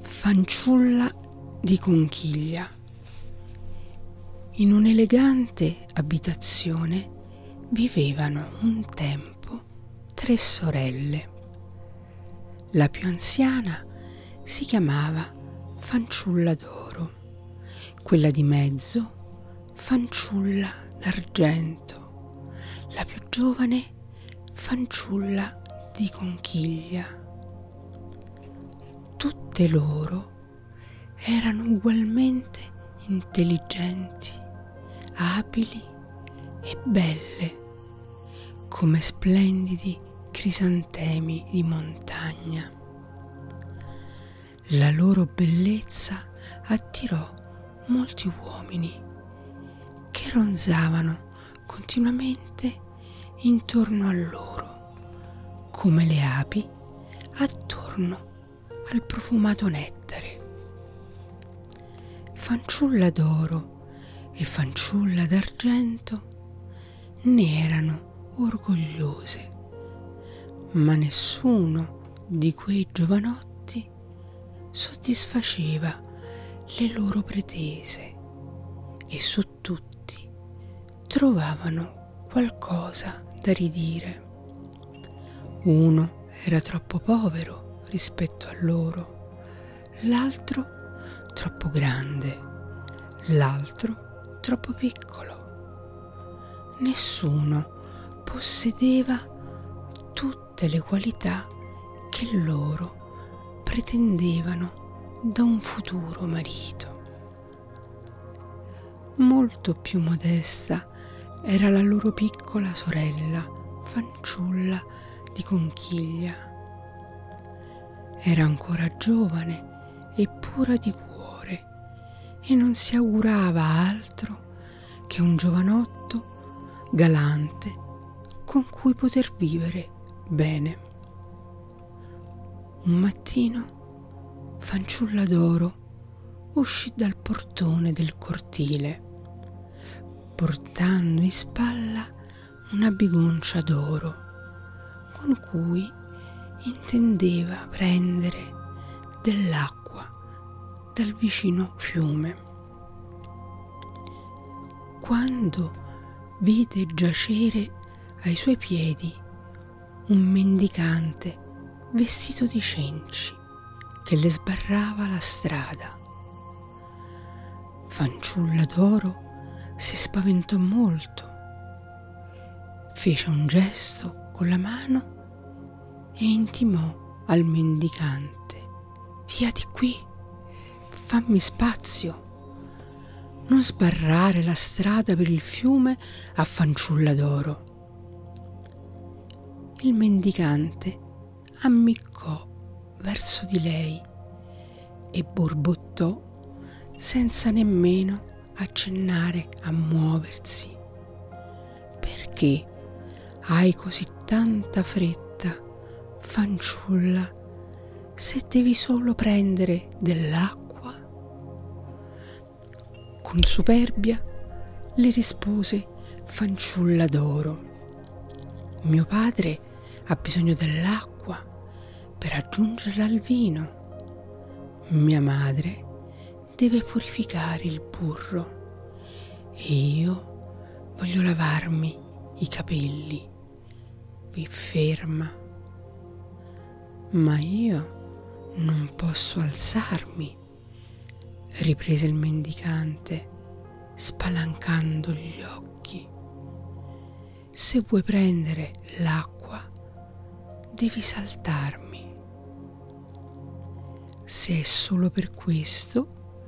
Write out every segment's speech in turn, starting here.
fanciulla di conchiglia. In un'elegante abitazione vivevano un tempo tre sorelle. La più anziana si chiamava Fanciulla d'oro, quella di mezzo Fanciulla d'argento, la più giovane Fanciulla di conchiglia. Tutte loro erano ugualmente intelligenti, abili e belle, come splendidi crisantemi di montagna. La loro bellezza attirò molti uomini che ronzavano continuamente intorno a loro, come le api attorno al profumato nettare. Fanciulla d'oro e fanciulla d'argento ne erano orgogliose, ma nessuno di quei giovanotti soddisfaceva le loro pretese e su tutti trovavano qualcosa da ridire. Uno era troppo povero rispetto a loro, l'altro troppo grande, l'altro troppo piccolo. Nessuno possedeva tutte le qualità che loro pretendevano da un futuro marito. Molto più modesta era la loro piccola sorella, fanciulla di conchiglia. Era ancora giovane e pura di cuore e non si augurava altro che un giovanotto galante con cui poter vivere bene. Un mattino fanciulla d'oro uscì dal portone del cortile, portando in spalla una bigoncia d'oro, con cui intendeva prendere dell'acqua dal vicino fiume. Quando vide giacere ai suoi piedi un mendicante vestito di cenci che le sbarrava la strada. Fanciulla d'oro si spaventò molto, fece un gesto con la mano e intimò al mendicante Via di qui, fammi spazio. Non sbarrare la strada per il fiume a fanciulla d'oro. Il mendicante ammiccò verso di lei e borbottò senza nemmeno accennare a muoversi. Perché hai così tanta fretta, fanciulla, se devi solo prendere dell'acqua? Con superbia le rispose fanciulla d'oro. Mio padre ha bisogno dell'acqua per aggiungerla al vino. Mia madre deve purificare il burro e io voglio lavarmi i capelli. Vi ferma. Ma io non posso alzarmi, riprese il mendicante, spalancando gli occhi. Se vuoi prendere l'acqua, devi saltarmi. Se è solo per questo,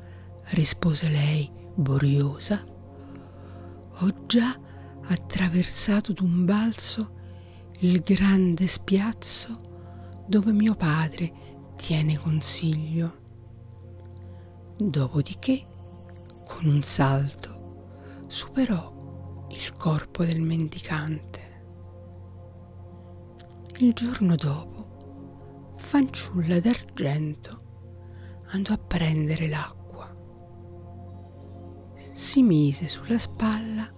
rispose lei boriosa, ho già attraversato d'un balzo il grande spiazzo dove mio padre tiene consiglio. Dopodiché, con un salto, superò il corpo del mendicante. Il giorno dopo, fanciulla d'argento andò a prendere l'acqua. Si mise sulla spalla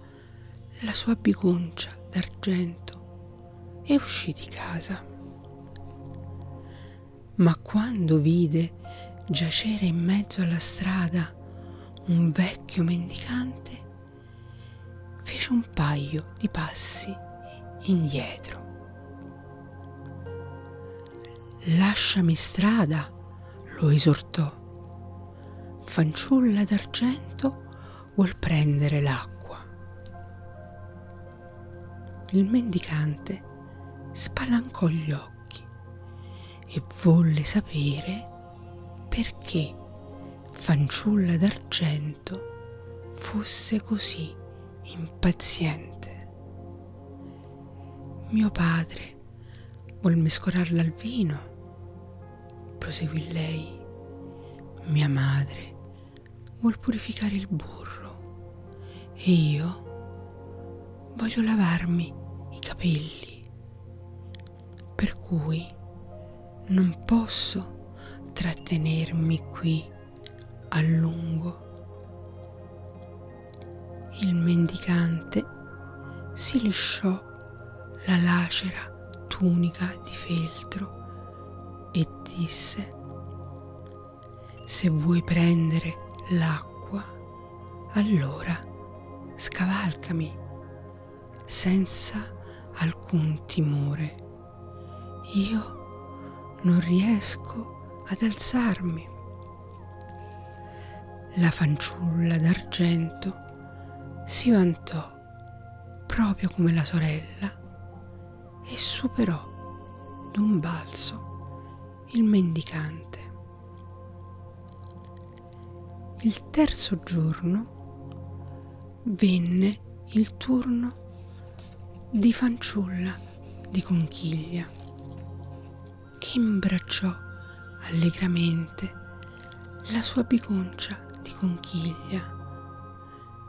la sua bigoncia d'argento e uscì di casa. Ma quando vide giacere in mezzo alla strada un vecchio mendicante, fece un paio di passi indietro. Lasciami strada, lo esortò fanciulla d'argento vuol prendere l'acqua. Il mendicante spalancò gli occhi e volle sapere perché fanciulla d'argento fosse così impaziente. Mio padre bere, vuol mescolarla al vino. Proseguì lei. Mia madre vuol purificare il burro e io voglio lavarmi i capelli. Per cui non posso trattenermi qui a lungo. Il mendicante si lisciò mano la lacera tunica di feltro e disse Se vuoi prendere l'acqua, allora scavalcami senza alcun timore. Io non riesco ad alzarmi. La fanciulla d'argento si vantò proprio come la sorella e superò d'un balzo il mendicante. Il terzo giorno venne il turno di fanciulla di conchiglia che imbracciò allegramente la sua biconcia di conchiglia,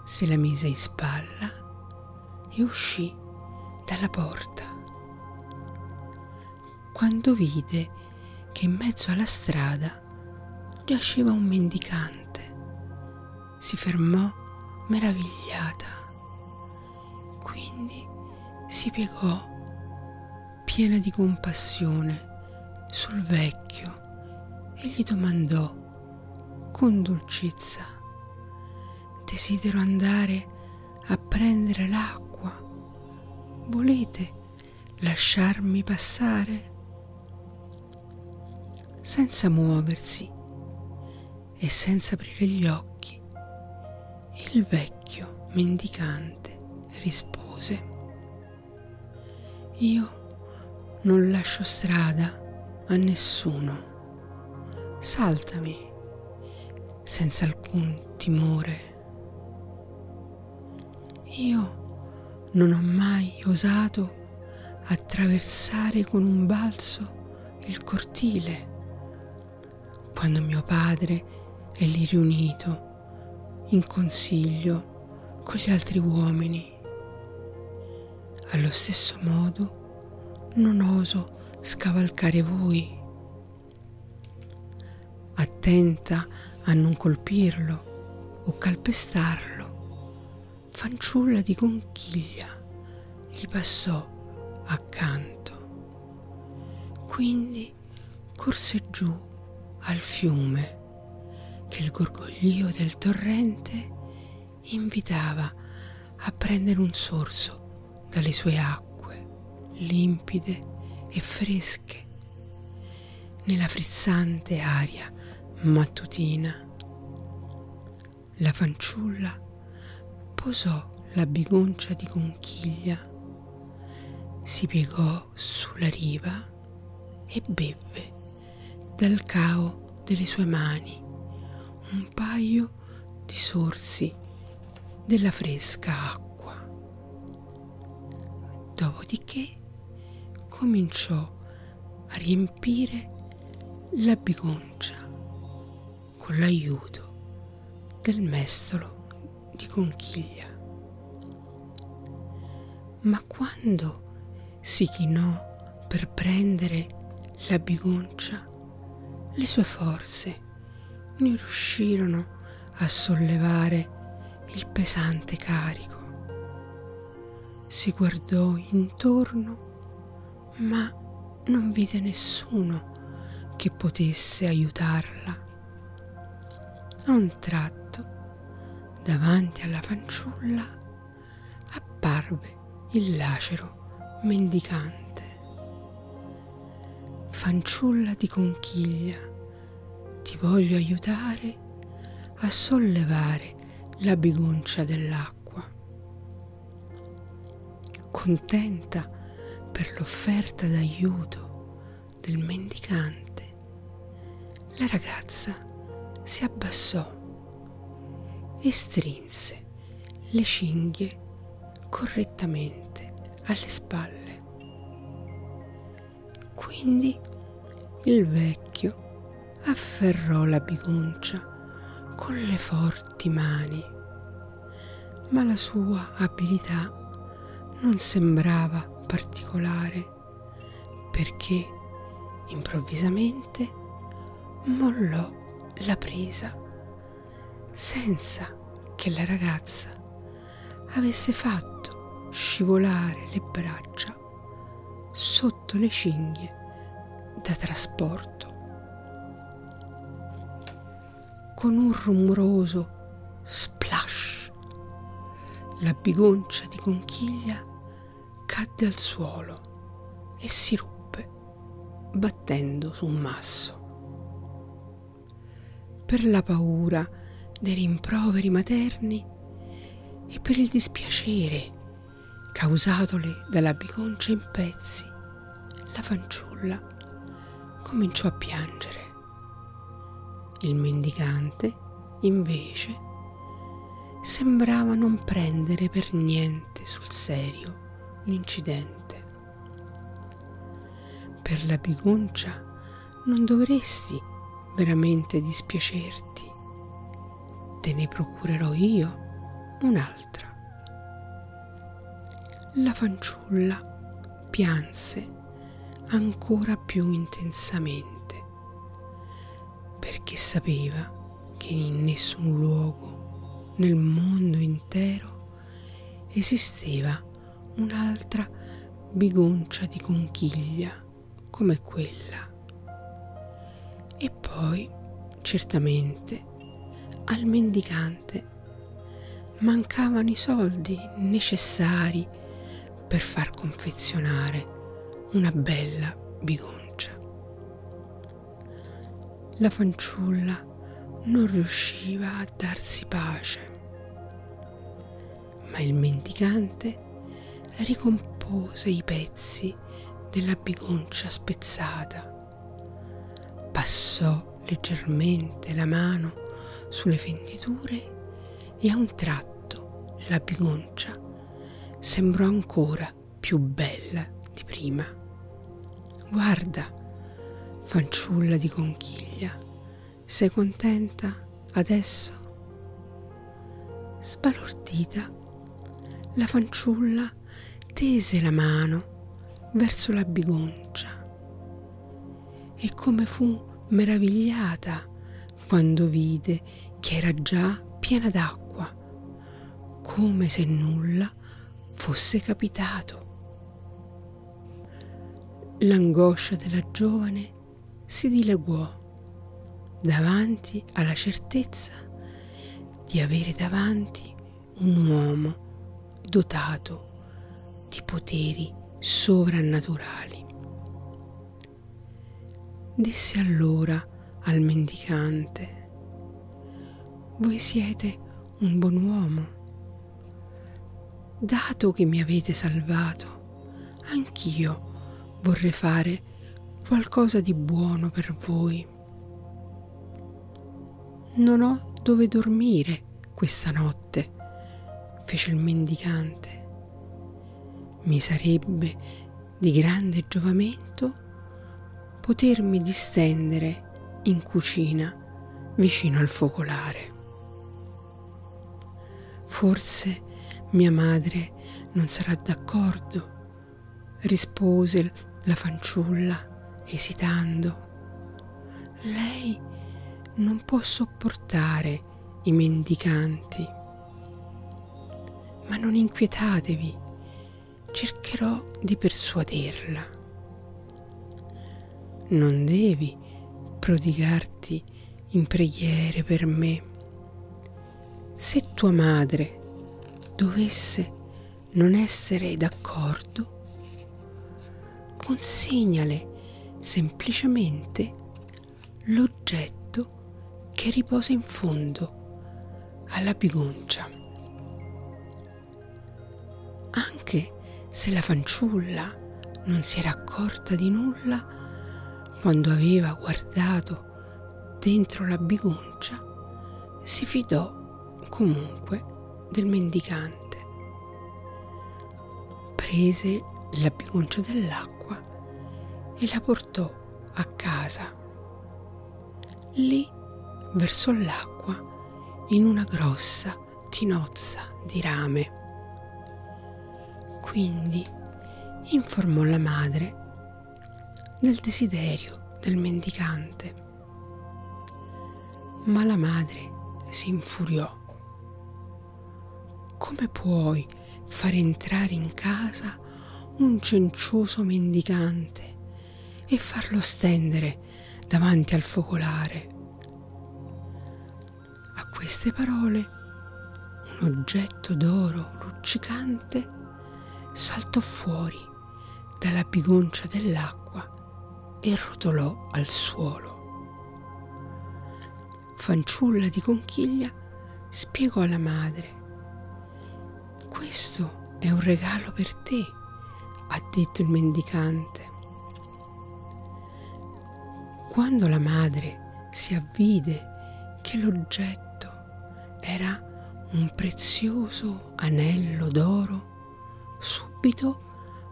se la mise in spalla e uscì dalla porta. Quando vide che in mezzo alla strada giaceva un mendicante, si fermò meravigliata. Quindi si piegò piena di compassione sul vecchio e gli domandò con dolcezza, desidero andare a prendere l'acqua, volete lasciarmi passare? Senza muoversi e senza aprire gli occhi, il vecchio mendicante rispose Io non lascio strada a nessuno. Saltami senza alcun timore. Io non ho mai osato attraversare con un balzo il cortile quando mio padre è lì riunito in consiglio con gli altri uomini. Allo stesso modo non oso scavalcare voi. Attenta a non colpirlo o calpestarlo, fanciulla di conchiglia gli passò accanto. Quindi corse giù al fiume che il gorgoglio del torrente invitava a prendere un sorso dalle sue acque limpide e fresche nella frizzante aria mattutina. La fanciulla posò la bigoncia di conchiglia si piegò sulla riva e bevve dal cao delle sue mani un paio di sorsi della fresca acqua. Dopodiché cominciò a riempire la bigoncia con l'aiuto del mestolo di conchiglia. Ma quando si chinò per prendere la bigoncia, le sue forze non riuscirono a sollevare il pesante carico. Si guardò intorno, ma non vide nessuno che potesse aiutarla. A un tratto, davanti alla fanciulla, apparve il lacero mendicante. Fanciulla di conchiglia, ti voglio aiutare a sollevare la bigoncia dell'acqua. Contenta per l'offerta d'aiuto, del mendicante, la ragazza si abbassò e strinse le cinghie correttamente alle spalle. Quindi il vecchio afferrò la bigoncia con le forti mani ma la sua abilità non sembrava particolare perché improvvisamente mollò la presa senza che la ragazza avesse fatto scivolare le braccia sotto le cinghie da trasporto con un rumoroso splash. La bigoncia di conchiglia cadde al suolo e si ruppe, battendo su un masso. Per la paura dei rimproveri materni e per il dispiacere causatole dalla bigoncia in pezzi, la fanciulla cominciò a piangere. Il mendicante, invece, sembrava non prendere per niente sul serio l'incidente. Per la bigoncia non dovresti veramente dispiacerti. Te ne procurerò io un'altra. La fanciulla pianse ancora più intensamente perché sapeva che in nessun luogo nel mondo intero esisteva un'altra bigoncia di conchiglia come quella. E poi, certamente, al mendicante istante mancavano i soldi necessari per far confezionare una bella bigoncia. La fanciulla non riusciva a darsi pace, ma il mendicante ricompose i pezzi della bigoncia spezzata, passò leggermente la mano sulle fenditure e a un tratto la bigoncia sembrò ancora più bella di prima. Guarda, fanciulla di conchiglia, sei contenta adesso? Sbalordita, la fanciulla tese la mano verso la bigoncia e come fu meravigliata quando vide che era già piena d'acqua, come se nulla fosse capitato. L'angoscia della giovane si dileguò davanti alla certezza di avere davanti un uomo dotato di poteri sovrannaturali. Disse allora al mendicante, voi siete un buon uomo. Dato che mi avete salvato, anch'io vorrei fare qualcosa di buono per voi. Non ho dove dormire questa notte, fece il mendicante. Mi sarebbe di grande giovamento potermi distendere in cucina vicino al focolare. Forse mia madre non sarà d'accordo, rispose la fanciulla esitando lei non può sopportare i mendicanti. Ma non inquietatevi, cercherò di persuaderla. Non devi prodigarti in preghiere per me. Se tua madre dovesse non essere d'accordo, consegnale semplicemente l'oggetto che riposa in fondo alla bigoncia. Anche se la fanciulla non si era accorta di nulla quando aveva guardato dentro la bigoncia, si fidò comunque del mendicante. Prese la bigoncia dell'acqua e la portò a casa. Lì versò l'acqua in una grossa tinozza di rame. Quindi informò la madre del desiderio del mendicante ma la madre si infuriò. Come puoi far entrare in casa un cencioso mendicante e farlo stendere davanti al focolare? A queste parole un oggetto d'oro luccicante saltò fuori dalla bigoncia dell'acqua e rotolò al suolo. Fanciulla di conchiglia spiegò alla madre. Questo è un regalo per te, ha detto il mendicante. Quando la madre si avvide che l'oggetto era un prezioso anello d'oro, Subito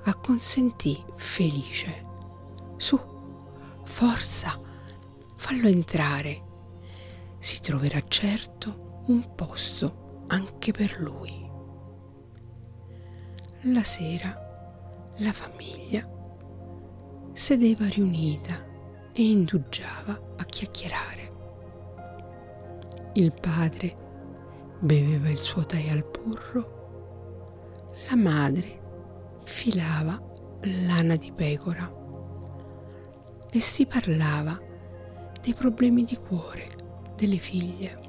acconsentì felice. Su, forza, fallo entrare. Si troverà certo un posto anche per lui. La sera la famiglia sedeva riunita e indugiava a chiacchierare. Il padre beveva il suo tè al burro, la madre filava lana di pecora e si parlava dei problemi di cuore delle figlie.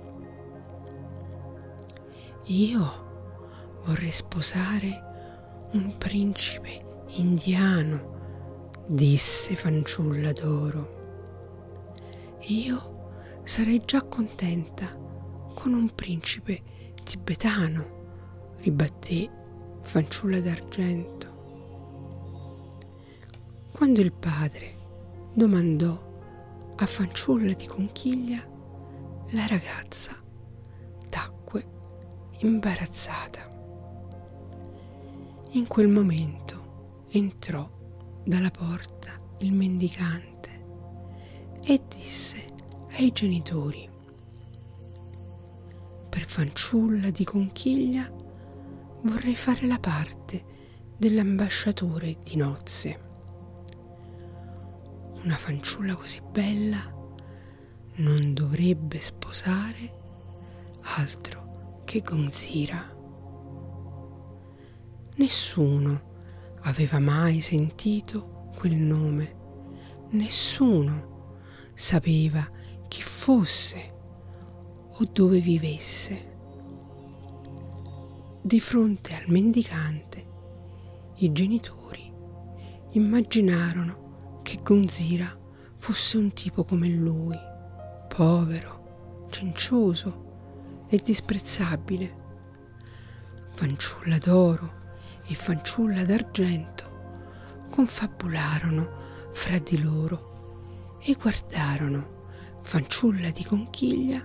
Io vorrei sposare un principe indiano, disse fanciulla d'oro io sarei già contenta con un principe tibetano, ribatté fanciulla d'argento. Quando il padre domandò a fanciulla di conchiglia, la ragazza tacque imbarazzata. In quel momento entrò dalla porta il mendicante e disse ai genitori, per fanciulla di conchiglia vorrei fare la parte dell'ambasciatore di nozze. Una fanciulla così bella non dovrebbe sposare altro che Gonzira. Nessuno aveva mai sentito quel nome, nessuno sapeva chi fosse o dove vivesse. Di fronte al mendicante, i genitori immaginarono che Gonzira fosse un tipo come lui, povero, cencioso e disprezzabile. Fanciulla d'oro e fanciulla d'argento confabularono fra di loro e guardarono fanciulla di conchiglia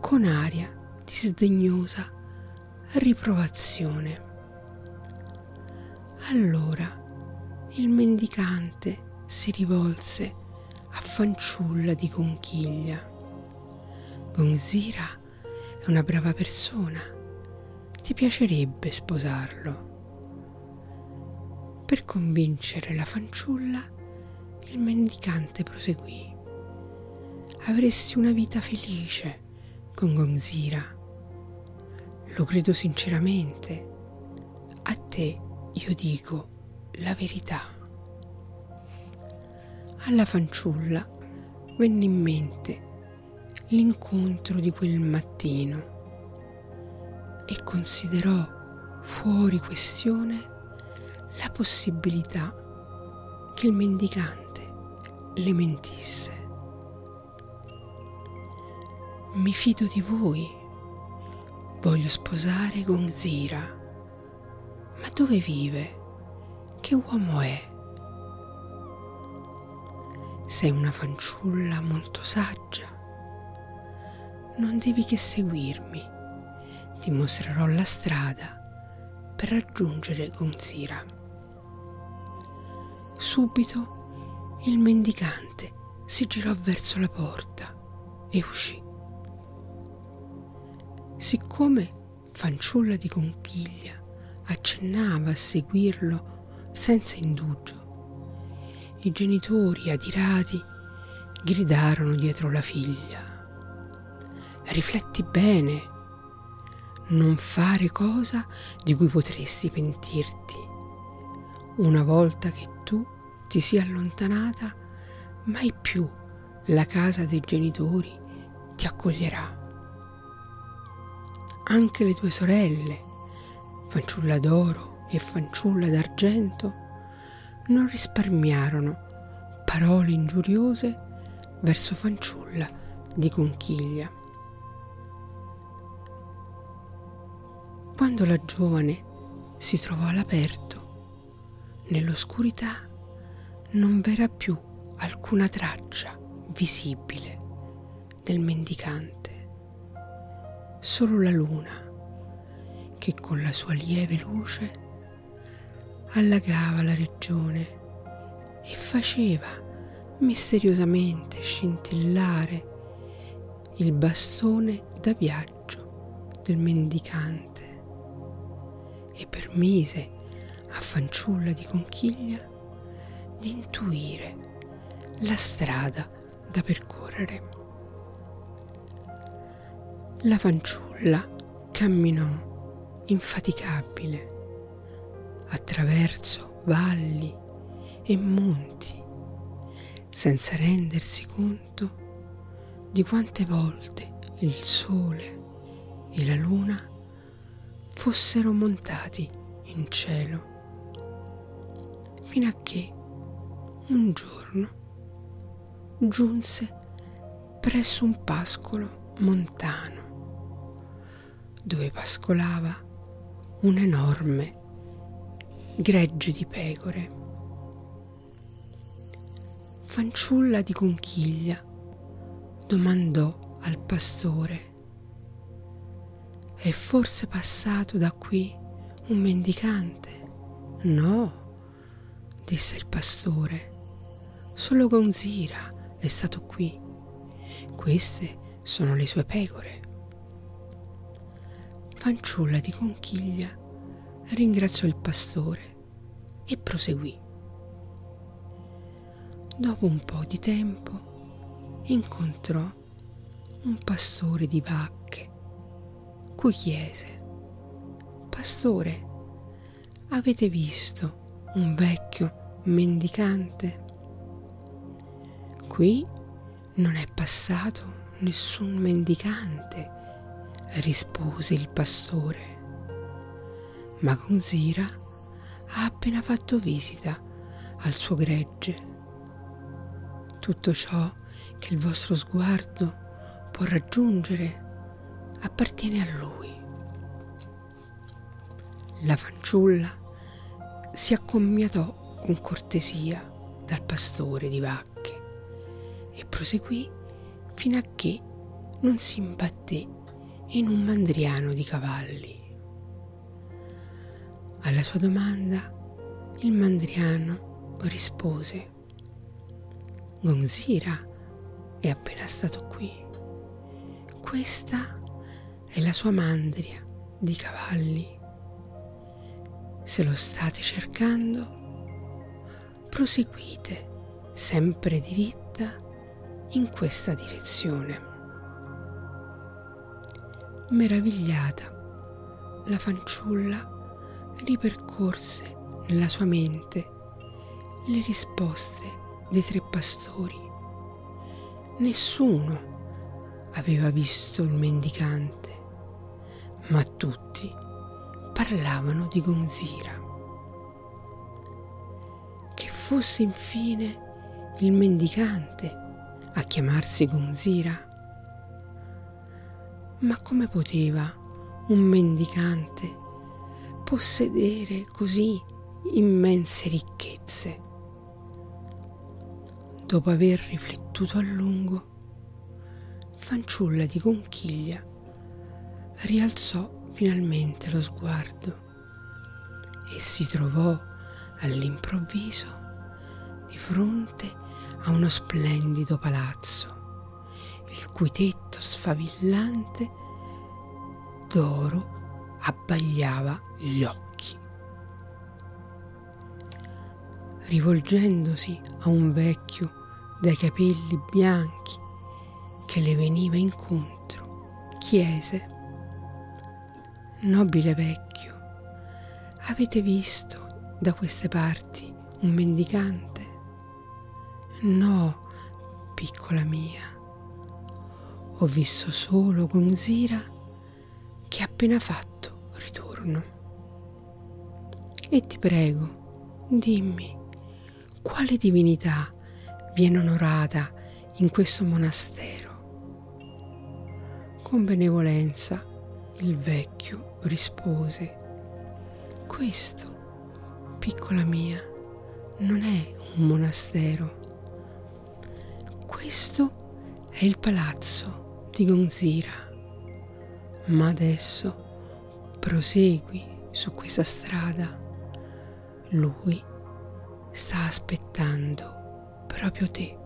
con aria di sdegnosa riprovazione. Allora il mendicante si rivolse a fanciulla di conchiglia. Gonzira è una brava persona, ti piacerebbe sposarlo. Per convincere la fanciulla, il mendicante proseguì. Avresti una vita felice con Gonzira. Lo credo sinceramente a te io dico la verità. Alla fanciulla venne in mente l'incontro di quel mattino e considerò fuori questione la possibilità che il mendicante le mentisse. Mi fido di voi, Voglio sposare Gonzira. Ma dove vive? Che uomo è? Sei una fanciulla molto saggia. Non devi che seguirmi. Ti mostrerò la strada per raggiungere Gonzira. Subito il mendicante si girò verso la porta porta e uscì. Siccome fanciulla di conchiglia accennava a seguirlo senza indugio, i genitori adirati gridarono dietro la figlia. Rifletti bene, non fare cosa di cui potresti pentirti, una volta che tu ti sia allontanata, mai più la casa dei genitori ti accoglierà. Anche le tue sorelle, fanciulla d'oro e fanciulla d'argento, non risparmiarono parole ingiuriose verso fanciulla di conchiglia. Quando la giovane si trovò all'aperto, nell'oscurità non v'era più alcuna traccia visibile del mendicante, solo la luna che con la sua lieve luce allagava la regione e faceva misteriosamente scintillare il bastone da viaggio del mendicante e permise a fanciulla di conchiglia di intuire la strada da percorrere. La fanciulla camminò infaticabile attraverso valli fiumi e monti, senza rendersi conto di quante volte il sole e la luna fossero montati in cielo, fino a che un giorno giunse presso un pascolo montano, dove pascolava un enorme gregge di pecore, fanciulla di conchiglia, domandò al pastore, è forse passato da qui un mendicante? No, disse il pastore, solo Gonzira è stato qui. Queste sono le sue pecore. Fanciulla di conchiglia ringraziò il pastore e proseguì. Dopo un po' di tempo incontrò un pastore di vacche, cui chiese, Pastore, avete visto un vecchio mendicante? Qui non è passato nessun mendicante, rispose il pastore. Ma Gonzira ha appena fatto visita al suo gregge. Tutto ciò che il vostro sguardo può raggiungere appartiene a lui. La fanciulla si accommiatò con cortesia dal pastore di vacche e proseguì fino a che non si imbatté in un mandriano di cavalli. Alla sua domanda il mandriano rispose Gonzira è appena stato qui. Questa e la sua mandria di cavalli. Se lo state cercando, proseguite sempre diritta in questa direzione. Meravigliata, la fanciulla ripercorse nella sua mente le risposte dei tre pastori Nessuno aveva visto il mendicante, ma tutti parlavano di Gonzira. Che fosse infine il mendicante a chiamarsi Gonzira? Ma come poteva un mendicante possedere così immense ricchezze? Dopo aver riflettuto a lungo, fanciulla di conchiglia rialzò finalmente lo sguardo e si trovò all'improvviso di fronte a uno splendido palazzo, il cui tetto sfavillante d'oro abbagliava gli occhi rivolgendosi a un vecchio dai capelli bianchi che le veniva incontro, chiese, Nobile vecchio, avete visto da queste parti un mendicante? No, piccola mia, ho visto solo Gonzira che appena fatto ritorno. E ti prego, dimmi, quale divinità viene onorata in questo monastero? Con benevolenza il vecchio rispose, questo, piccola mia, non è un monastero, questo è il palazzo di Gonzira. Ma adesso prosegui su questa strada. Lui sta aspettando proprio te.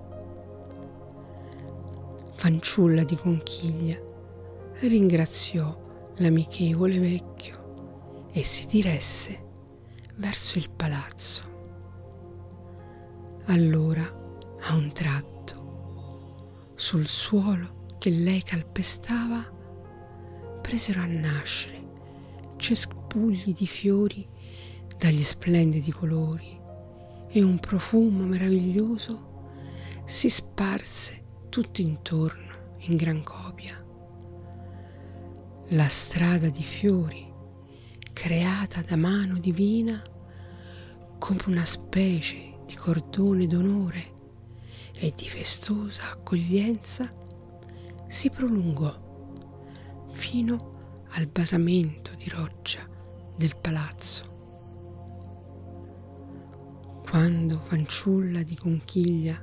Fanciulla di conchiglia ringraziò l'amichevole vecchio e si diresse verso il palazzo. Allora, a un tratto, sul suolo che lei calpestava, presero a nascere cespugli di fiori dagli splendidi colori e un profumo meraviglioso si sparse tutto intorno in gran copia. La strada di fiori creata da mano divina come una specie di cordone d'onore e di festosa accoglienza, si prolungò fino al basamento di roccia del palazzo. Quando fanciulla di conchiglia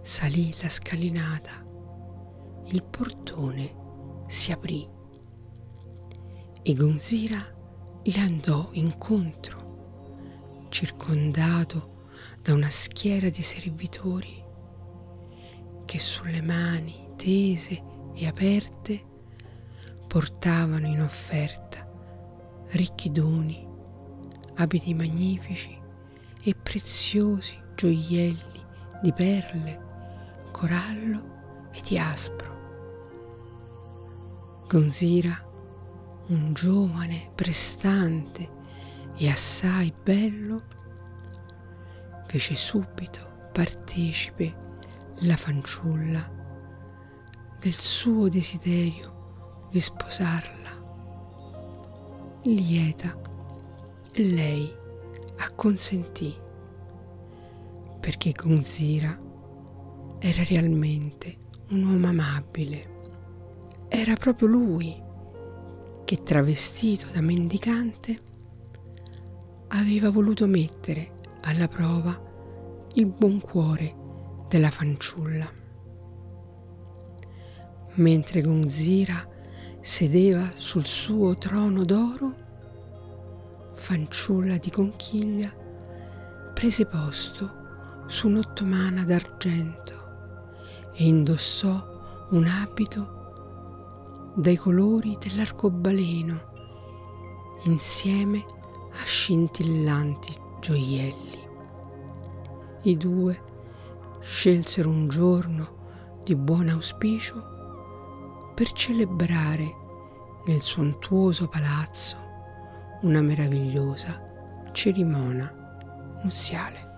salì la scalinata, il portone si aprì e Gonzira gli andò incontro, circondato da una schiera di servitori che sulle mani tese e aperte portavano in offerta ricchi doni, abiti magnifici e preziosi gioielli fiori, di perle, corallo e di aspro. Gonzira, un giovane, prestante e assai bello, fece subito partecipe la fanciulla del suo desiderio di sposarla. Lieta lei acconsentì perché Gonzira era realmente un uomo amabile. Era proprio lui che, travestito da mendicante, aveva voluto mettere alla prova il buon cuore della fanciulla. Mentre Gonzira sedeva sul suo trono d'oro, Marco, fanciulla di conchiglia, prese posto su un'ottomana d'argento e indossò un abito dai colori dell'arcobaleno insieme a scintillanti gioielli. I due scelsero un giorno giorno di buon auspicio per celebrare nel sontuoso palazzo una meravigliosa cerimonia nuziale.